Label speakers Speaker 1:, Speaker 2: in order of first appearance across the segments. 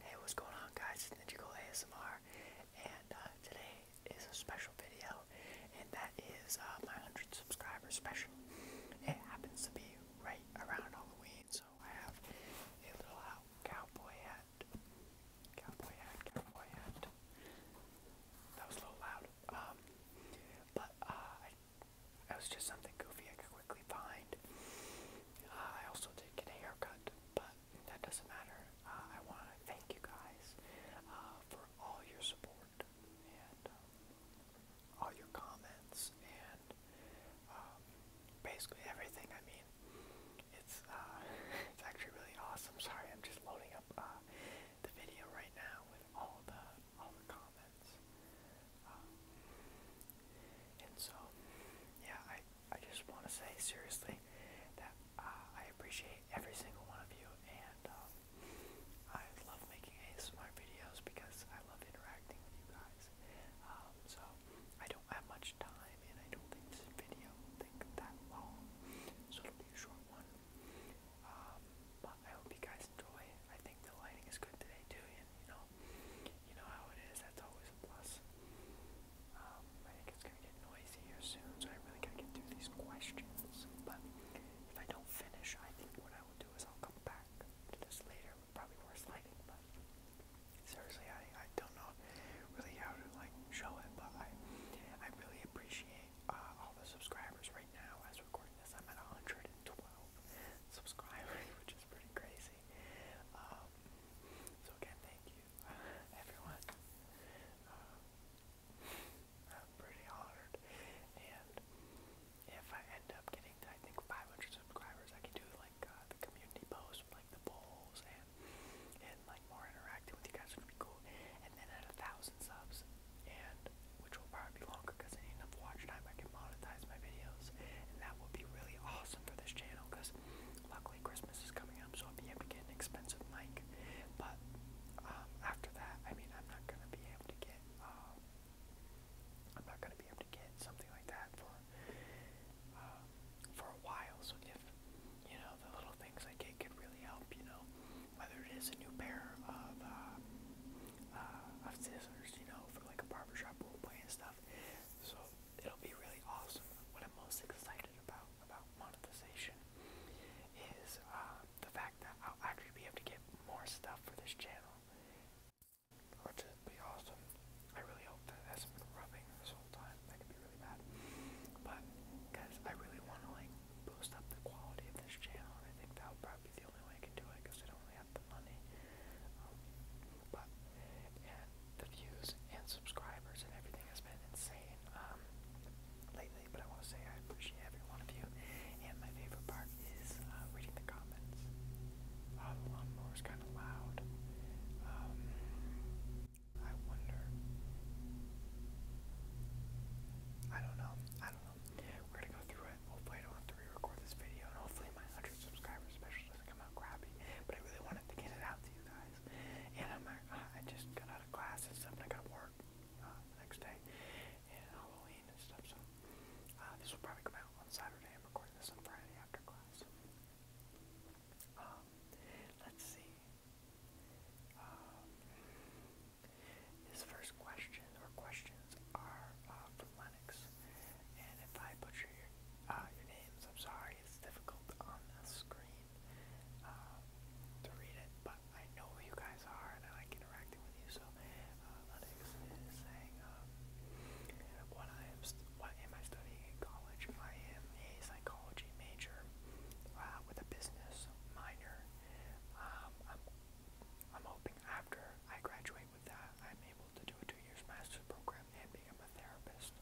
Speaker 1: Hey, what's going on guys? It's Ninjagold ASMR and uh, today is a special video and that is uh, my 100 subscriber special. It happens to be right around Halloween so I have a little uh, cowboy hat. Cowboy hat, cowboy hat. That was a little loud. Um, but uh, that was just something goofy I could quickly find. Uh, I also did get a haircut but that doesn't matter. Uh, I want to thank you guys uh, for all your support and um, all your comments and um, basically everything. I mean, it's uh, it's actually really awesome. Sorry, I'm just loading up the video right now with all the all the comments. Um, and so, yeah, I I just want to say seriously that uh, I appreciate every single one of you, and um, I love making ASMR videos because I love interacting with you guys. Um, so I don't have much time, and I don't think this video will take that long, so it'll be a short one. Um, but I hope you guys enjoy. I think the lighting is good today too you know, you know how it is. That's always a plus. Um, I think it's gonna get noisy here soon, so I really gotta get through these questions. But if I don't finish, I think what I will do is I'll come back to this later probably worse lighting. But seriously, I I don't know really how to like show it, but I I really appreciate uh, all the subscribers right now. As recording this, I'm at 112 subscribers, which is is pretty crazy. Um, so again, thank you, everyone. Um, I'm pretty honored, and if I end up getting, I think, 500 subscribers, I can do like uh, the community post, like the polls, and and like more interacting with you guys would be cool. And then at a thousand subs, and which will probably be longer because I need enough watch time, I can monetize my videos else. And that will be really awesome for this channel because luckily Christmas is coming up, so I'll be able to get an expensive mic. But um, after that, I mean, I'm not gonna be able to get. Um, I'm not gonna be able to get something like that for uh, for a while. So if you know the little things I get could really help, you know, whether it is a new pair of uh, uh, of scissors, you know, for like a barbershop role play and stuff so it'll be really awesome. What I'm most excited about about monetization is uh, the fact that I'll actually be able to get more stuff for this channel, which would be awesome. I really hope that that has been rubbing this whole time. That could be really bad, but because I really want to like boost up the quality of this channel, and I think that would probably be the only way I can do it because I don't really have had the money. Um, but the views and subscribers and everything has been insane um, lately. But I want to say I appreciate every one of you. And my favorite part is uh, reading the comments. the lawnmower is kind of loud. Um, I wonder. I don't know. I don't know. We're gonna go through it. Hopefully, I don't to re-record this video, and hopefully, my 100 subscribers special doesn't come out crappy, but I really wanted to get it out to you guys. And I'm, uh, I just got out of class and stuff, and I got to work uh, the next day, and Halloween and stuff, so uh, this will probably come out on Saturday. I'm recording this on Friday after class. Um, let's see. Um, this first question, or questions, are uh, from Linux. And if I butcher your, uh, your names, I'm sorry, it's difficult on the screen uh, to read it, but I know who you guys are and I like interacting with you. So uh, Linux is saying, um, what, I am what am I studying in college? I am a psychology major uh, with a business minor. Um, I'm, I'm hoping after I graduate away with that, I'm able to do a two years master's program and become a therapist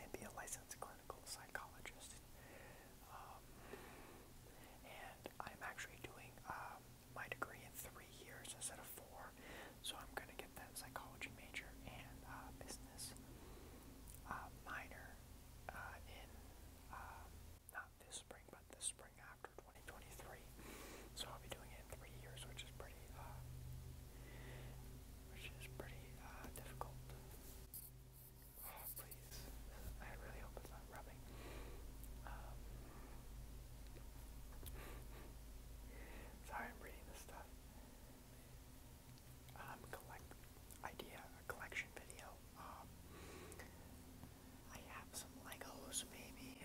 Speaker 1: and be a licensed clinical psychologist. Um, and I'm actually doing um, my degree in three years instead of four, so I'm going to get that psychology major and uh, business uh, minor uh, in uh, not this spring, but this spring I after 2023. So I'll be doing it in three years, which is pretty, uh, which is pretty uh, difficult. Oh, please. I really hope it's not rubbing. Um, sorry, I'm reading this stuff. Um, idea, collection video. Um, I have some Legos, maybe.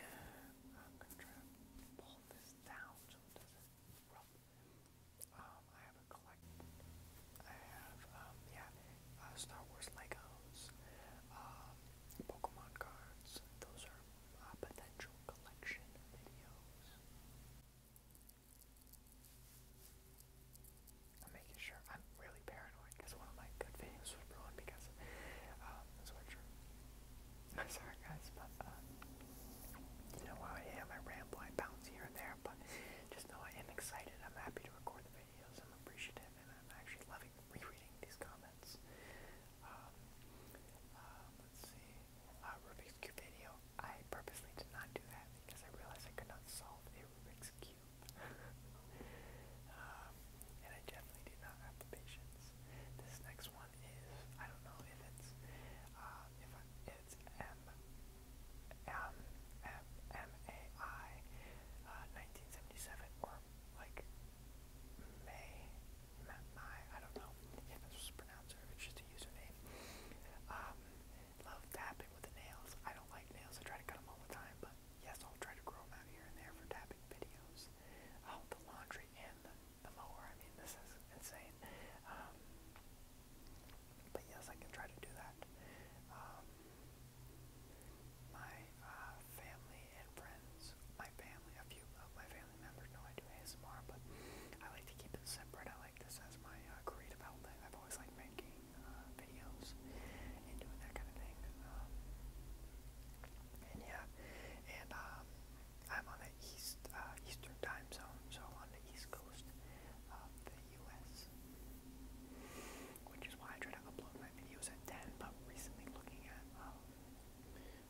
Speaker 1: I'm going to try to pull this down I have a collect. I have, yeah, Star Wars Legos, Pokemon cards. Those are potential collection videos. I'm making sure I'm really paranoid because one of my good videos was ruined because of um, the sweatshirt. I'm sorry guys, but uh, you know how I am. I ramble, I bounce here and there, but just know I am excited. I'm happy to record the videos. I'm appreciative, and I'm actually loving rereading these comments. Um, uh, uh, Rubik's Cube video. I purposely did not do that because I realized I could not solve a Rubik's Cube um, and I definitely did not have the patience. This next one is I don't know if it's uh, if I, it's M M M M A I uh, 1977 or like May Mai. I don't know if it's pronounced or if it's just a username. Um, love tapping with the nails. I don't like nails. I try to cut them all the time, but yes, I'll try to grow them out here and there for tapping videos. Oh, the laundry and the, the mower. I mean, this is insane. Um, but yes, I can try to do that. Um, my uh, family and friends, my family, a few of my family members know I do ASMR, but I like to keep it separate. I like this as my uh, creative outlet. I've always liked making uh, videos and doing that kind of thing. Um, and yeah, and um, I'm on the east uh, Eastern time zone, so on the East Coast of the U.S. Which is why I try to upload my videos at 10. But recently looking at um,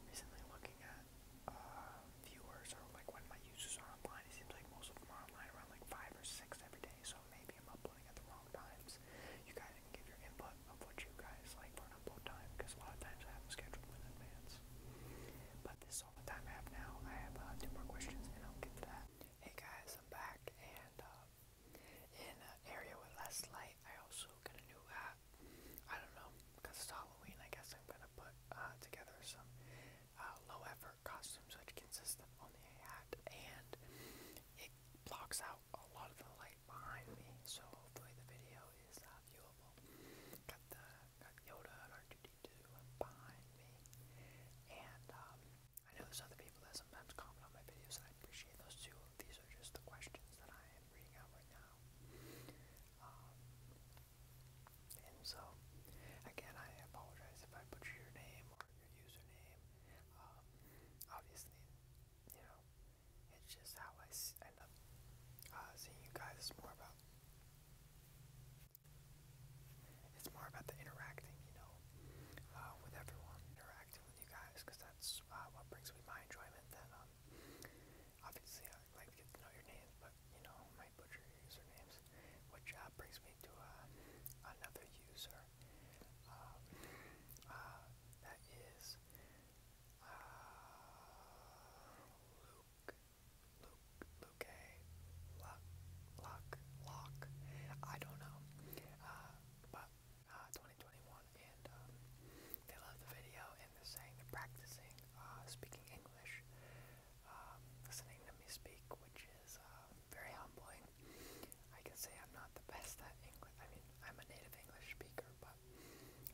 Speaker 1: recently looking at uh, viewers or like when my users are online, it seems like most of them are online around like five or six every day. So maybe I'm uploading at the wrong times you guys can give your input of what you guys like for an upload time, because a lot of times I have them scheduled in advance. But this is all the time I have now. I have uh, two more questions, and I'll get to that. Hey guys, I'm back, and uh, in an area with less light, I also got a new hat. I don't know, because it's Halloween, I guess I'm going to put uh, together some low effort costumes, which consist of only a hat, and blocks out a lot of the light behind me, so hopefully the video is uh, viewable. Got the got Yoda and R2D2 behind me, and um, I know there's other people that sometimes comment on my videos, and I appreciate those too. These are just the questions that I am reading out right now. Um, and so, again, I apologize if I butcher your name your username. Um, obviously, you know, it's just how I s end up uh, seeing you guys. It's more about it's more about the interacting, you know, uh, with everyone, interacting with you guys, because that's uh, what brings me my enjoyment. Then, um, obviously, I like to get to know your names, but you know, might butcher your usernames, which brings me to another user um, uh, that is uh, Luke, Luke, Luke, Luck, Luck, Lock. I don't know, but 2021, and they love the video, and they're saying they're practicing speaking English, listening to me speak, which is very humbling. I can say I'm not the best at English. I mean, I'm a native English speaker, but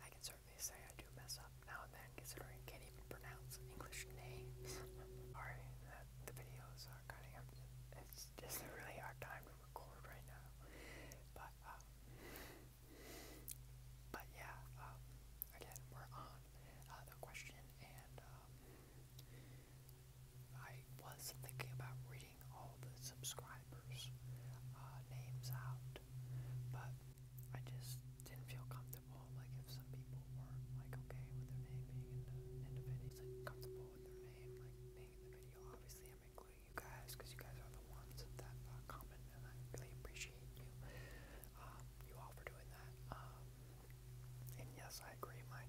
Speaker 1: I can certainly say I do mess up now and then, considering I can't even pronounce English names. Sorry that the videos are cutting up. It's just a really hard time to record right now. But, um, but yeah, um, again, we're on uh, the question and, um, I was thinking about reading all the subscribers' uh, names out, but I just didn't feel comfortable. Like, if some people were like okay with their name being in the end of it, like comfortable with their name like being in the video. Obviously, I'm including you guys because you guys are the ones that uh, comment, and I really appreciate you, um, you all for doing that. Um, and yes, I agree. My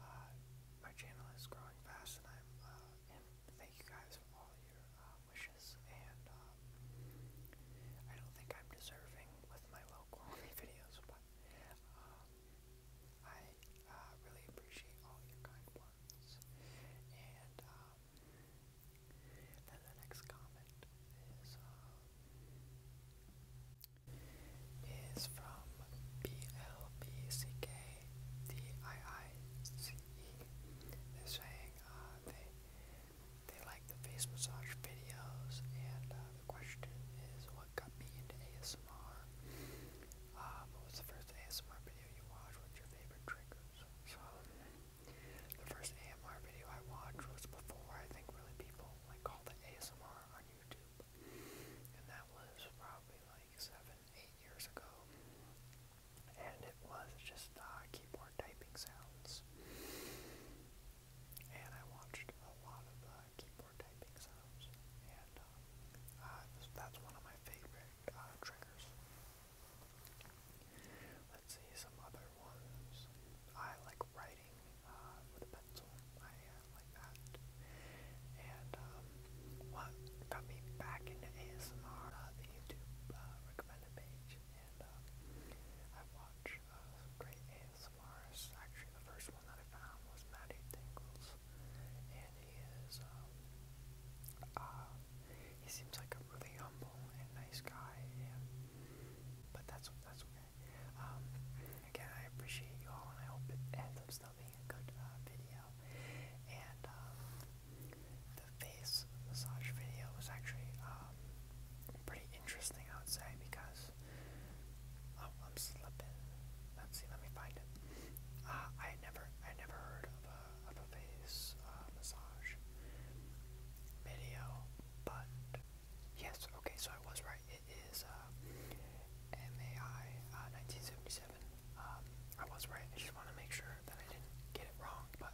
Speaker 1: uh, my channel is growing fast, and I'm uh, and thank you guys for all your uh, wishes. And um, I don't think I'm deserving with my low quality videos, but um, I uh, really appreciate all your kind words. And um, then the next comment is. Uh, is from B L B C K D I uh, like the face massage videos, and uh, the question is what got me into ASMR. Um, uh, what was the first ASMR video you watched? What's your favorite triggers? So the first ASMR video I watched was before I think really people like all the ASMR on YouTube. YouTube. And that was probably like seven, eight years ago. And it was just uh, keyboard typing sounds. And I watched a lot of uh, keyboard typing sounds. And um, uh, uh that's one of my favorite uh, triggers. Let's see some other ones. I like writing uh, with a pencil. I uh, like that. And um, what got me back into ASMR, uh, the YouTube uh, recommended page, and um, I watch uh, some great ASMRs. Actually, the first one that I found was Matty Tingles, and he is. Um, uh, he seems like a really humble and nice guy, and but that's that's what um, again, I appreciate you all, and I hope it ends up still being a good uh, video. And um, the face massage video was actually um, pretty interesting, I would say, because oh, I'm slipping. Let's see, let me find it. Uh, I never, I never heard of a face uh, massage video, but Yes, okay, so I was right. It is uh, MAI uh, 1977. Um, I was right. I just want to make sure that I didn't get it wrong, but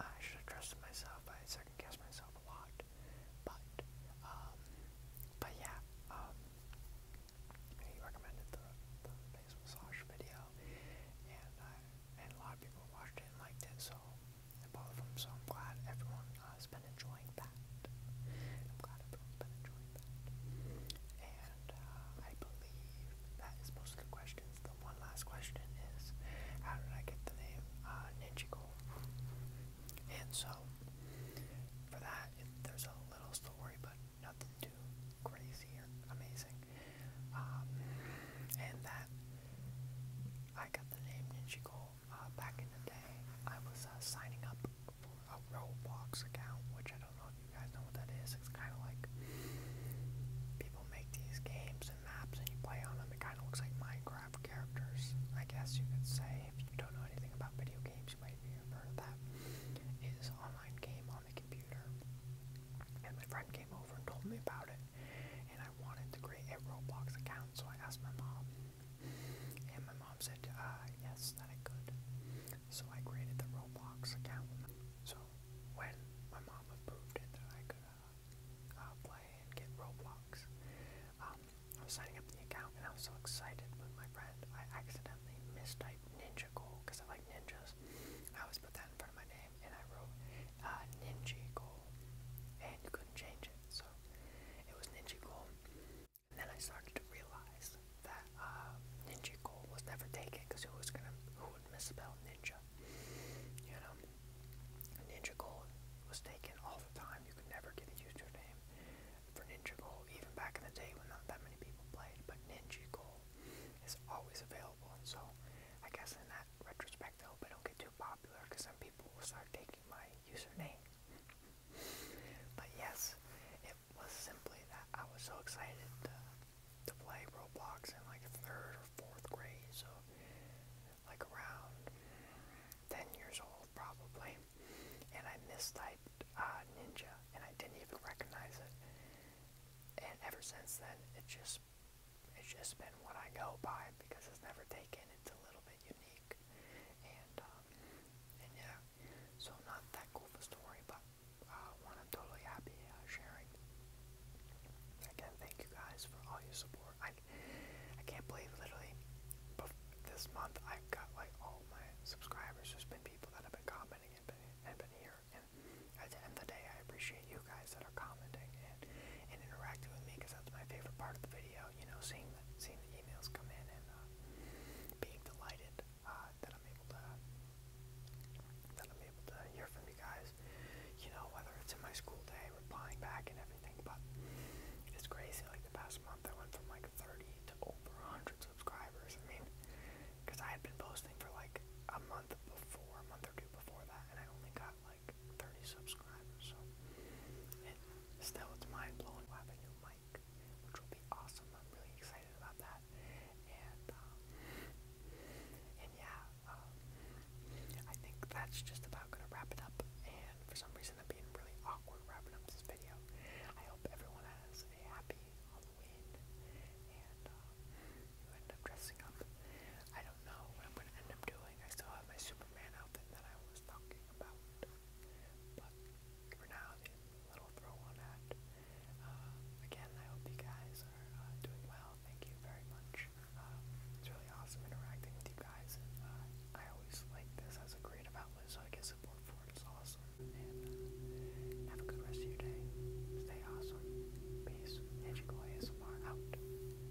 Speaker 1: I should have trusted myself. I second guessed myself a lot. But, um, but yeah, um, he recommended the, the face massage video, and, I, and a lot of people watched it and liked it, so both of them, so I'm glad everyone has been enjoying that. I'm glad everyone's been enjoying that. And uh, I believe that is most of the questions. The one last question is, how did I get the name uh, Ninjago? And so, for that, it, there's a little story, but nothing too crazy or amazing. Um, and that I got the name Ninjago uh, back in the day, I was uh, signing up for a Roblox account, which I don't know if you guys know what that is. It's kind of like people make these games and maps and you play on them. It kind of looks like Minecraft characters, I guess you could say. If you don't know anything about video games, you might have heard of that. It is an online game on the computer. And my friend came over and told me about it. And I wanted to create a Roblox account, so I asked my mom and my mom said, uh, yes, that I could. So I created the Roblox account. So when my mom approved it that I could uh, uh, play and get Roblox, um, I was signing up the account and I was so excited with my friend. I accidentally mistyped Ninja Goal because I like ninjas. I always put that in front of my name and I wrote uh, Ninja Goal and you couldn't change it. So it was Ninja Goal. And then I started to realize that uh, Ninja Goal was never taken because who was gonna who would misspell Ninja? You know, Ninja Goal was taken all the time. You could never get a username for Ninja Goal, even back in the day when not that many people played. But Ninja Goal is always available, and so I guess in that retrospect, though, I don't get too popular because some people will start taking my username. But yes, it was simply that I was so excited to, to play Roblox in like third or fourth grade, so like around 10 years old probably. And I mistyped uh, Ninja and I didn't even recognize it. And ever since then, it just it's just been what I go by because it's never taken. It's a little bit unique. Um, and, yeah, so not that cool of a story, but uh, I'm totally happy uh, sharing. Again, thank you guys for all your support. I, I can't believe literally this month I've got like all my subscribers. There's been people that have been commenting and been, and been here. And at the end of the day, I appreciate you guys that are commenting and, and interacting with me because that's my favorite part of the video out, you know, seeing the, seeing the emails come in and uh, being delighted uh, that I'm able to that I'm able to hear from you guys. You know, whether it's in my school day, replying back and everything, but it's crazy. Like the past month, I went from like 30 to over 100 subscribers. I mean, because I had been posting for like a month before, a month or two before that, and I only got like. 30 subscribers, so still it's mind blowing. we have a new mic, which will be awesome. I'm really excited about that. And um, yeah, um, I think that's just about gonna wrap it up. And for some reason, I'm being really awkward wrapping up this video. I hope everyone has a happy Halloween, and um, you end up dressing up. I don't know what I'm gonna end up doing. I still have my Superman that I was talking about. But for now, the little throw on that. Uh, again, I hope you guys are uh, doing well. Thank you very much. Uh, it's really awesome interacting with you guys. I always like this as a creative outlet, so I get support for it. It's awesome. have a good rest of your day. Stay awesome. Peace. Magical ASMR out.